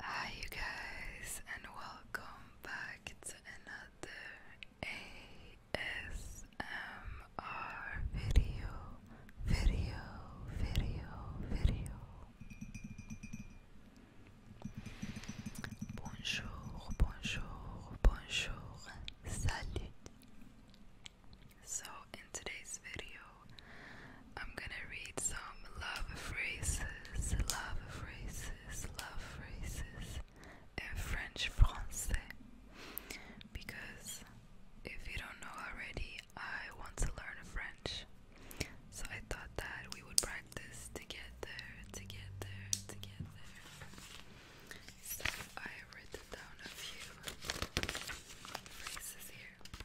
Hi, you guys, and welcome back to another ASMR video. Video, video, video. Bonjour, bonjour, bonjour, salut. So, in today's video, I'm gonna read some love phrases, love phrases, love phrases in French Francais because if you don't know already, I want to learn French. So I thought that we would practice together, together, together. So I wrote down a few phrases here.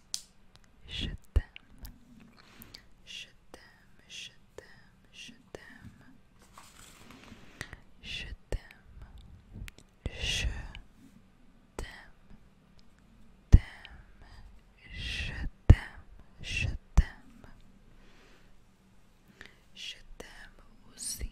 Je t'aime. Je t'aime, je t'aime, je t'aime. Je t'aime. Je t'aime. Je t'aime. Je t'aime. Je t'aime aussi.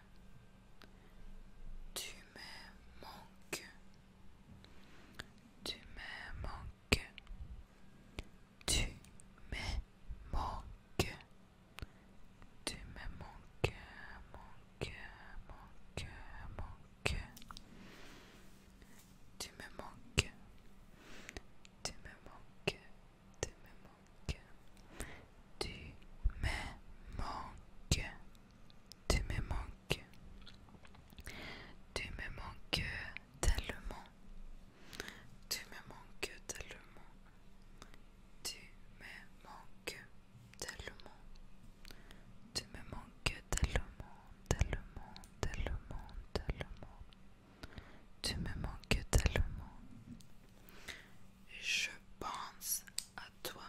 tu me manques. Tu me manques. Tu me manques. Tu me manques, manques, manques, manques. Tu me manques. Tu me manques. Tu me manques. Tu me manques. Tu me manques. Tu me manques tellement. Tu me manques tellement. Tu me manques tellement. Tu me manques tellement, tellement, tellement, tellement. Tu me manques tellement. Je pense toi.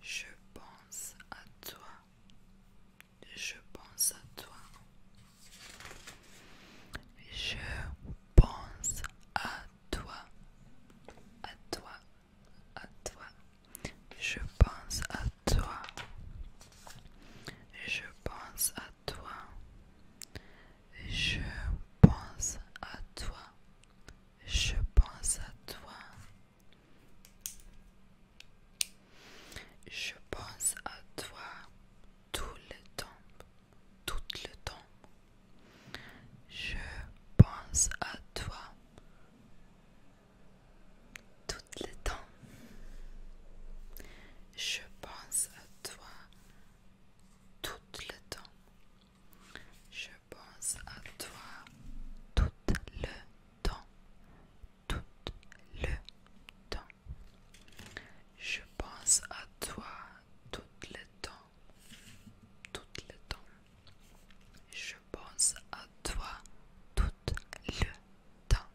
Je pense à toi. Je pense à toi. Je pense à toi. À toi. À toi. Je pense à toi. Je pense à toi. Je pense à toi. Je pense à toi. Je pense à toi tout le temps. Tout le temps. Je pense à toi tout le temps. Je pense à toi tout le temps. Je pense à toi tout le temps. Tout le temps. Je pense à toi tout le temps. Tout le temps. Je pense à toi tout le temps.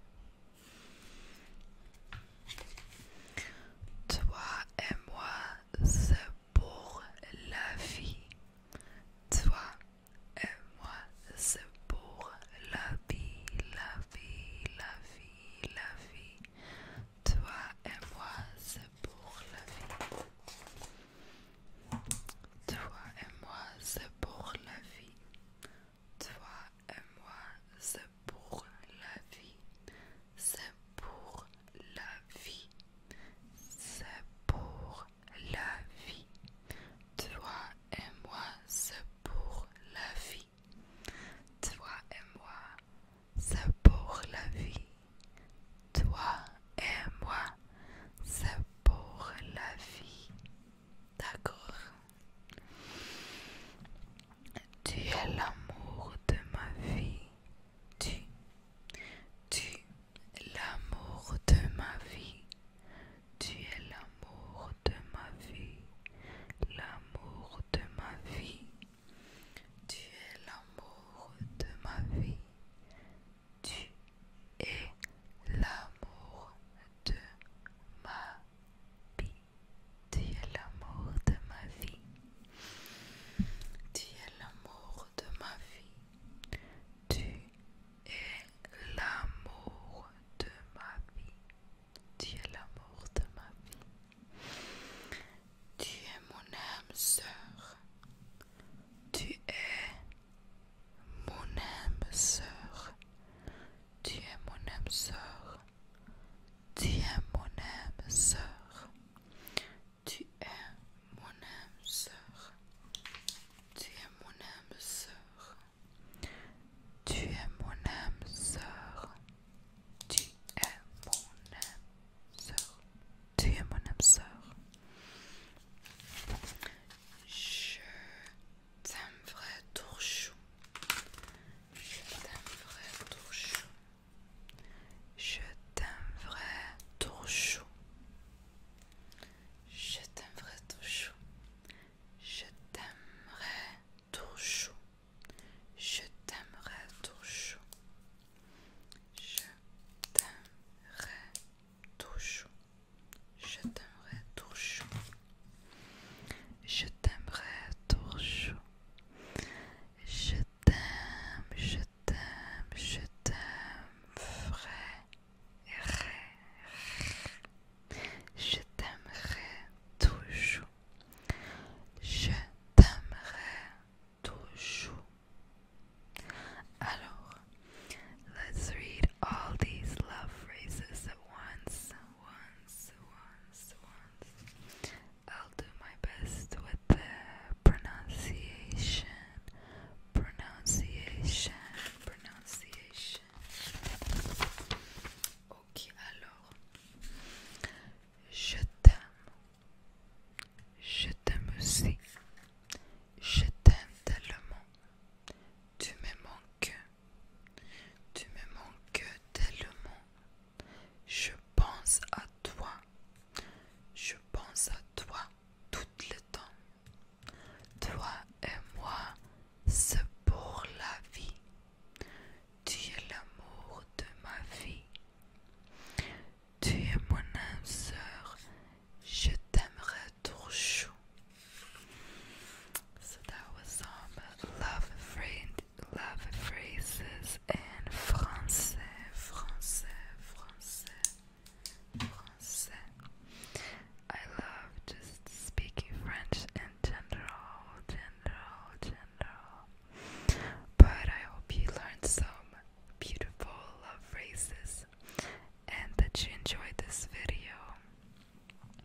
Toi et moi, c'est pour la vie. Toi et moi, c'est pour la vie, la vie, la vie, la vie. Toi et moi, c'est pour la vie. Toi et moi, c'est pour la vie. Toi et moi, c'est pour la vie. C'est pour la vie. C'est pour la vie. Toi et moi, c'est pour la vie. Toi et moi, c'est pour la vie. Toi et moi, c'est pour la vie. D'accord tu es l'amour de ma vie. Tu, tu es l'amour de ma vie. Tu es l'amour de ma vie. L'amour de ma vie. Tu es l'amour de ma vie. Tu es l'amour de ma vie. Tu es l'amour de ma vie. Tu es l'amour de ma vie. Tu es l'amour de ma vie. Tu es l'amour de ma vie. Tu es mon âme sœur. Tu es mon âme sœur, tu es mon âme sœur, tu es mon âme sœur, tu es mon âme sœur, tu es mon âme sœur, tu es mon âme sœur, tu es mon âme sœur, mon âme je t'aimerais toujours. Je t'aimerais tout Je t'aimerais tout Je t'aimerais tout chaud. Je t'aimerais tout Je t'aimerais tout Je je t'aimerai toujours. Je t'aimerai toujours. Je t'aime, je t'aime, je t'aime, vrai. Je t'aimerai toujours. Je t'aimerai toujours. Alors, let's read all these love phrases at once. I'll do my best with the pronunciation, pronunciation, pronunciation. Ok, alors, je t'aime. Je t'aime aussi. Je t'aime tellement. Tu me manques. Tu me manques tellement. Je pense à toi. Je pense à toi tout le temps. Toi et moi, c'est pour la vie. Tu es l'amour de ma vie. Tu es mon âme sœur, je t'aimerai trop chaud. So some love phrases in français, I love just speaking French in general. But I hope you learned some beautiful love phrases and that you enjoyed this video.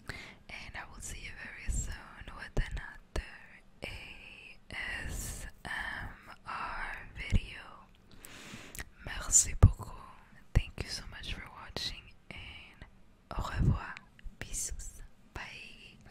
And I will see you very soon with another ASMR video. Merci beaucoup. Thank you so much for watching and au revoir. Bisous. Bye.